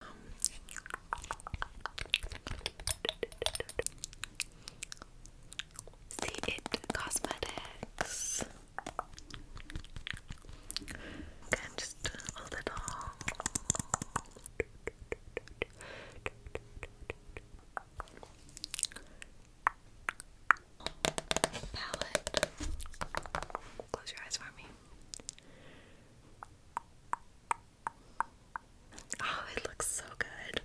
see it cosmetics and just a little palette. Close your eyes for me. Oh, it looks so good.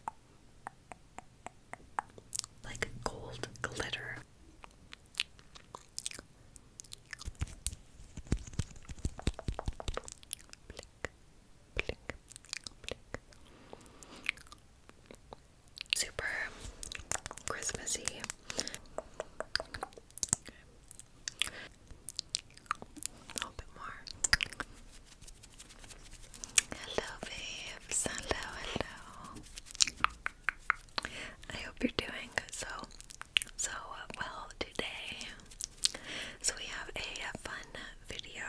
Like gold glitter. Super Christmassy. A little bit more. Hello, babes. Hello, hello. I hope you're doing so, so uh, well today. So, we have a fun video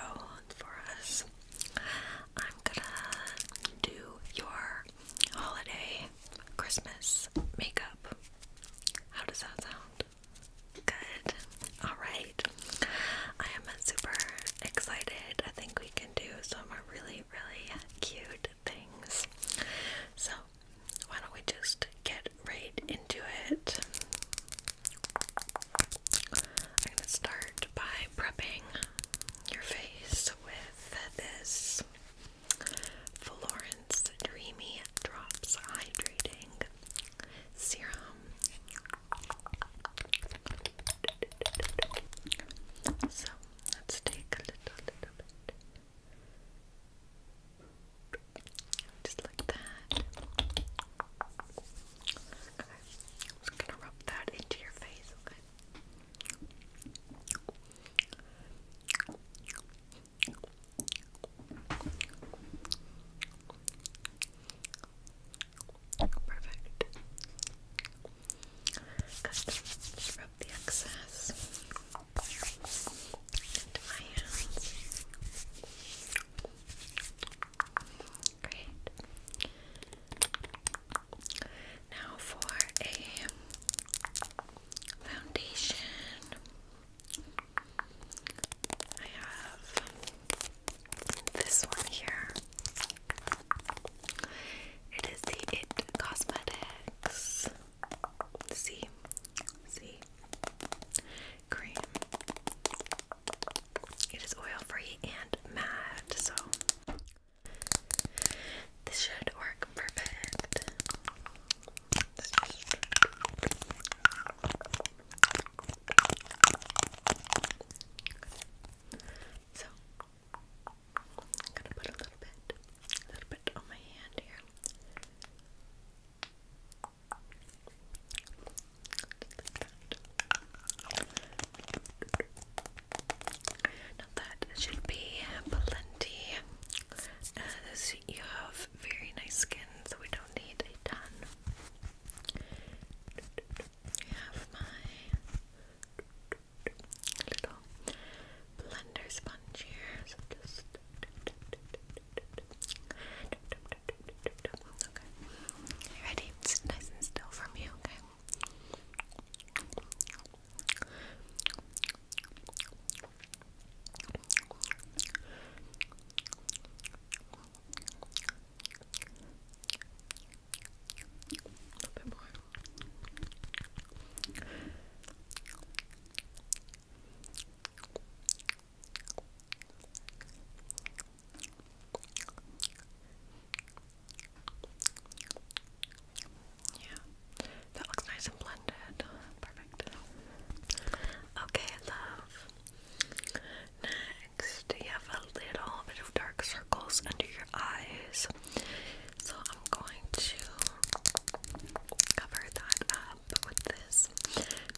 for us. I'm gonna do your holiday Christmas makeup. How does that sound? Good. Alright. I am super excited. I think we can do some really, really cute things. So, why don't we just get right into it? I'm going to start by prepping your face with this Florence Dreamy Drops Hydrating Serum. So let's take a little, little bit. Just like that. Okay. I'm just gonna rub that into your face, okay? Perfect. Good. Just rub the excess into my hands. Great. Now for a foundation. I have this one here. It is the It Cosmetics C C cream. It is oil free and matte, so this should work perfect. So i gonna put a little bit, a little bit on my hand here. Now that should be plenty. Uh, you have very nice skin, so we don't need a ton. I have my little blender sponge here, okay. ready? It's nice and still from you, okay? A bit Yeah, that looks nice and blended. Perfect. Okay, love. Next, you have a little bit of dark circles under your eyes. So I'm going to cover that up with this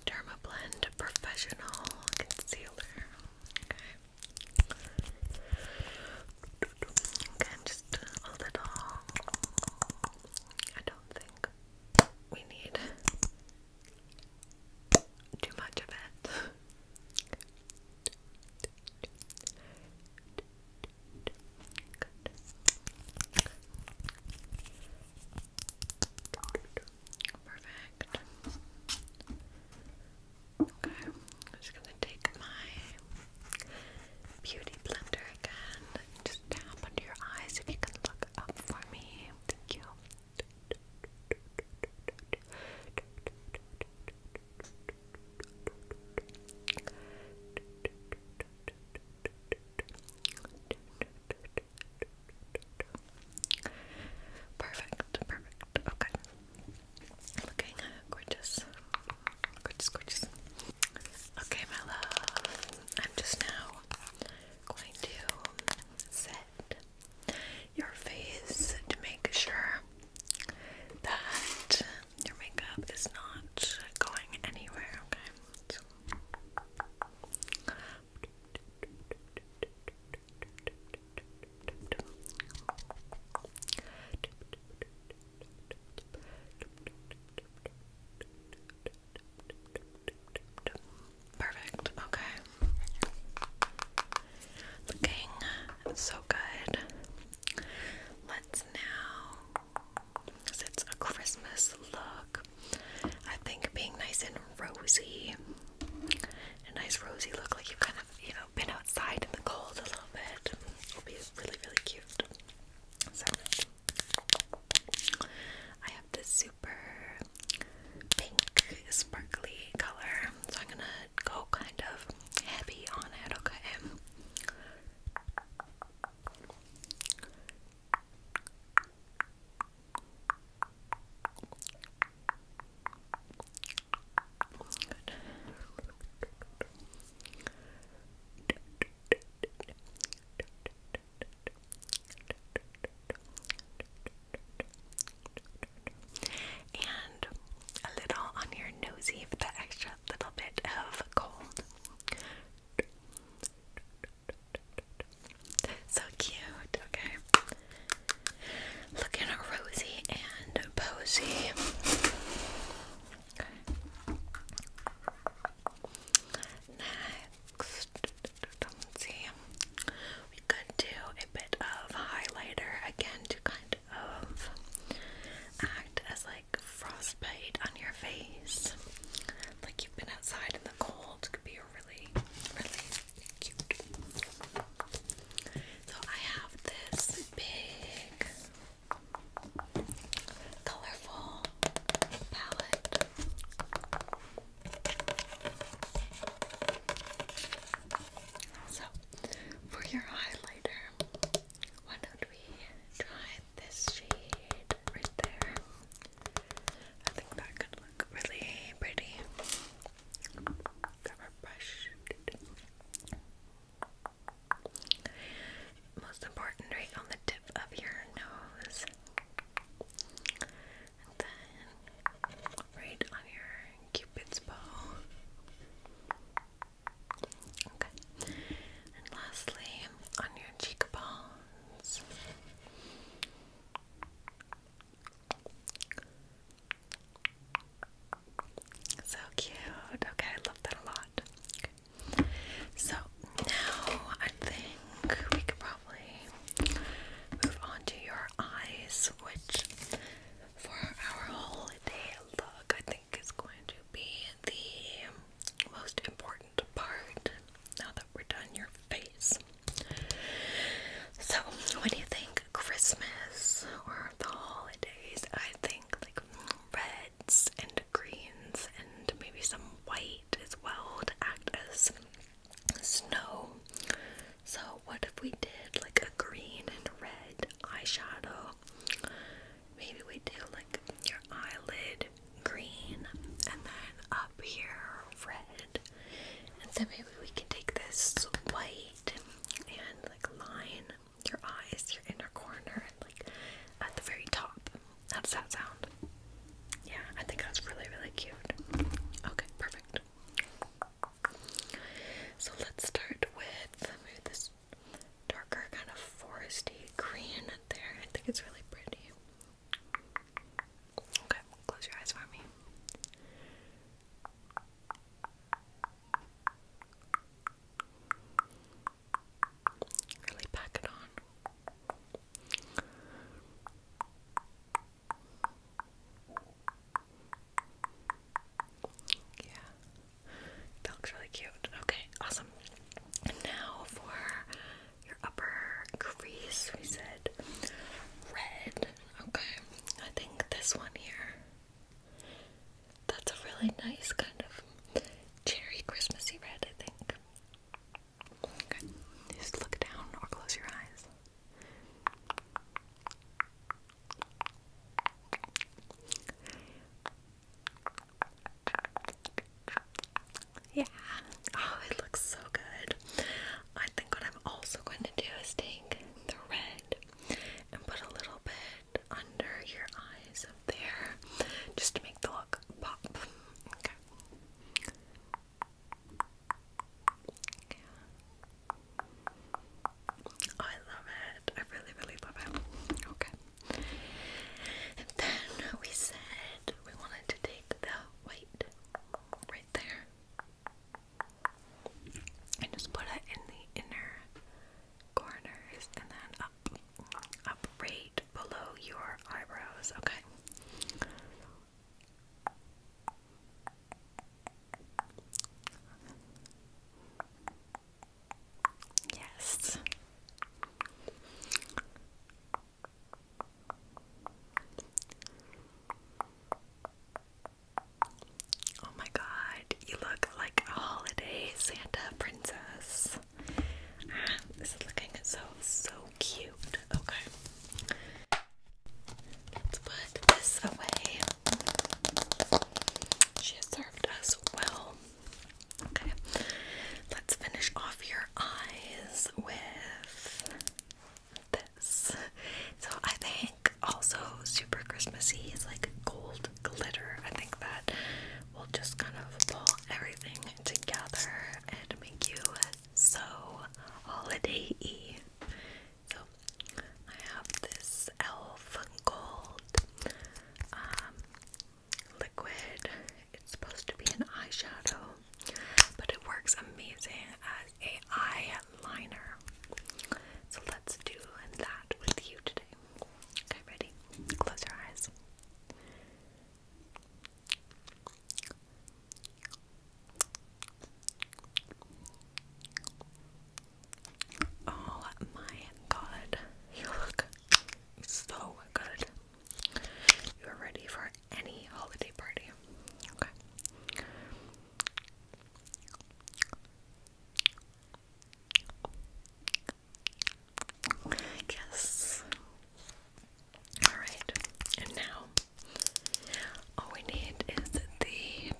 Dermablend Professional Concealer. Again, just a little. I don't think we need too much of it. Perfect. Okay, I'm just gonna take my beauty blender again tap under your eyes if you can look up for me. Thank you. Perfect, perfect. Okay. Looking uh, gorgeous. Gorgeous, gorgeous. Okay, my love, I'm just now going to set your face to make sure that your makeup is not going anywhere, okay? Perfect. Okay. Looking so good. Let's now, because it's a Christmas look, I think being nice and rosy, a nice rosy look, like you've kind of, you know, been outside in the cold a little bit, will be really, really cute. I have this super pink sparkly color, so I'm gonna go kind of heavy on it, okay? and a little on your nosy for that extra little bit of cold. So cute, okay? Looking rosy and posy. Next, We could do a bit of highlighter again to kind of act as like frostbite on your face. Like you've been outside in the cold, could be really, really cute. So I have this big colorful palette. So, for your highlighter, why don't we try this shade right there? I think that could look really pretty. Grab brush most important, right on the tip of your nose. And then right on your cupid's bow. Okay. And lastly, on your cheekbones. So cute. Okay, I love that a lot. So now I think we could probably move on to your eyes, which for our holiday look I think is going to be the most important part now that we're done your face. So what do you think Christmas or the holidays, I think like red and greens and maybe some white as well to act as snow. So, what if we did like a green and red eyeshadow? Maybe we do like your eyelid green and then up here red. And so maybe we can take this white and like line your eyes, your inner corner, and like at the very top, that's that sound? Yeah, I think that's really, really cute. Okay, perfect. So let's start with this darker kind of foresty green there. I think it's really pretty. Okay, close your eyes for me. Really pack it on. Yeah. That looks really cute. Okay, awesome. And now for your upper crease, we said red. Okay, I think this one here. That's a really nice kind of cherry Christmassy red, I think. Just look down or close your eyes. Yeah. Oh, it looks so good. I think what I'm also going to do is take the red and put a little bit under your eyes up there just to make the look pop. I love it. I really, really love it. Okay. And then we said we wanted to take the white right there and just put it in the inner corners and then up, up right below your eyebrows, okay? Yes. Oh my god, you look like a holiday Santa princess this is looking so, so cute. Okay. Let's put this away. She served us well. Okay. Let's finish off your eyes with this. So I think also super Christmassy is like gold glitter. I think that we will just kind of pull everything together and make you so holiday y. So, I have this e.l.f. gold um, liquid. It's supposed to be an eyeshadow, but it works amazing as a eyeliner. So, let's do that with you today. Okay, ready? Close your eyes. Oh my god, you look so good. You're ready for any holiday party. Okay. Yes. Alright, and now all we need is the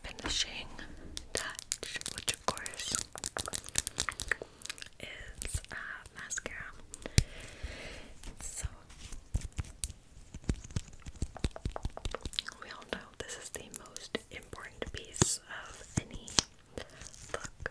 finishing touch, which of course is uh, mascara. So we all know this is the most important piece of any look.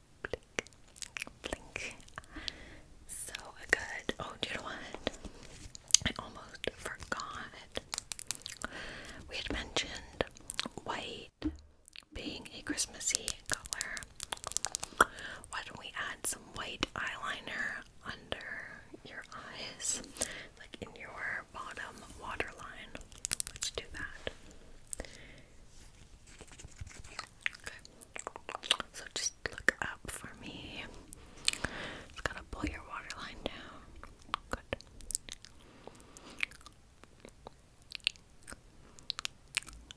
So good. Oh, do you know what? I almost forgot. We had mentioned white being a Christmassy color. Why don't we add some white eyeliner under your eyes, like in your bottom waterline? Let's do that. Okay. So just look up for me. Just gotta pull your waterline down. Good.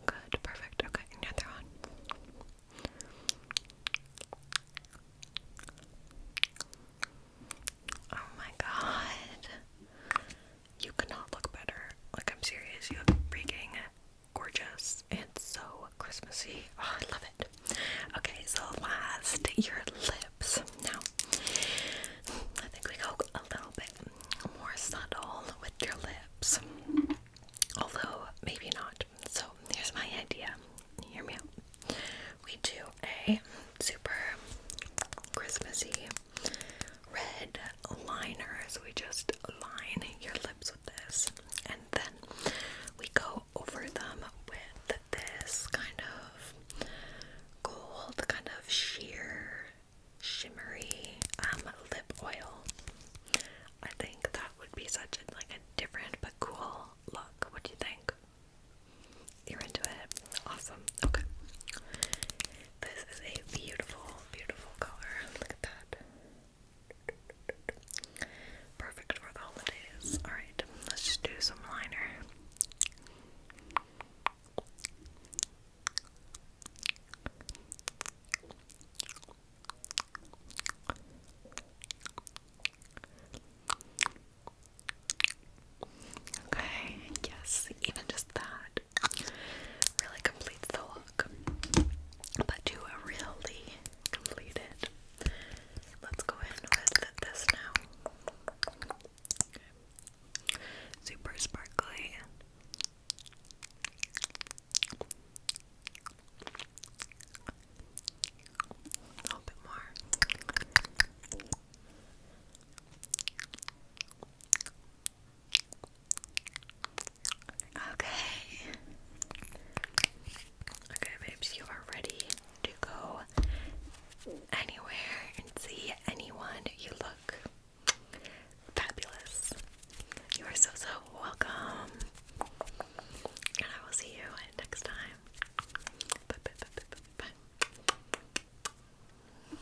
Good, perfect. Okay, another one. Oh my god you could look better. Like, I'm serious, you look freaking gorgeous and so Christmassy. Oh, I love it. Okay, so last, your lips. Now, I think we go a little bit more subtle with your lips, although maybe not. So, here's my idea. Hear me out. We do a super Christmassy red liner. So we just line your lips with this, and then we go over them with this kind of gold, kind of sheer, shimmery um, lip oil. I think that would be such a, like a different but cool look. What do you think? You're into it. Awesome. Okay. This is a beautiful, beautiful color. Look at that. Perfect for the holidays. Alright, let's just do some liner. Okay, yes, even just that really completes the look. But to really complete let's go in with this now. Super sparkly. A little bit more. Okay. Okay, babes, you are ready to go anywhere and see anyone you look fabulous. You are so, so welcome. And I will see you next time. bye, bye, bye, bye, bye.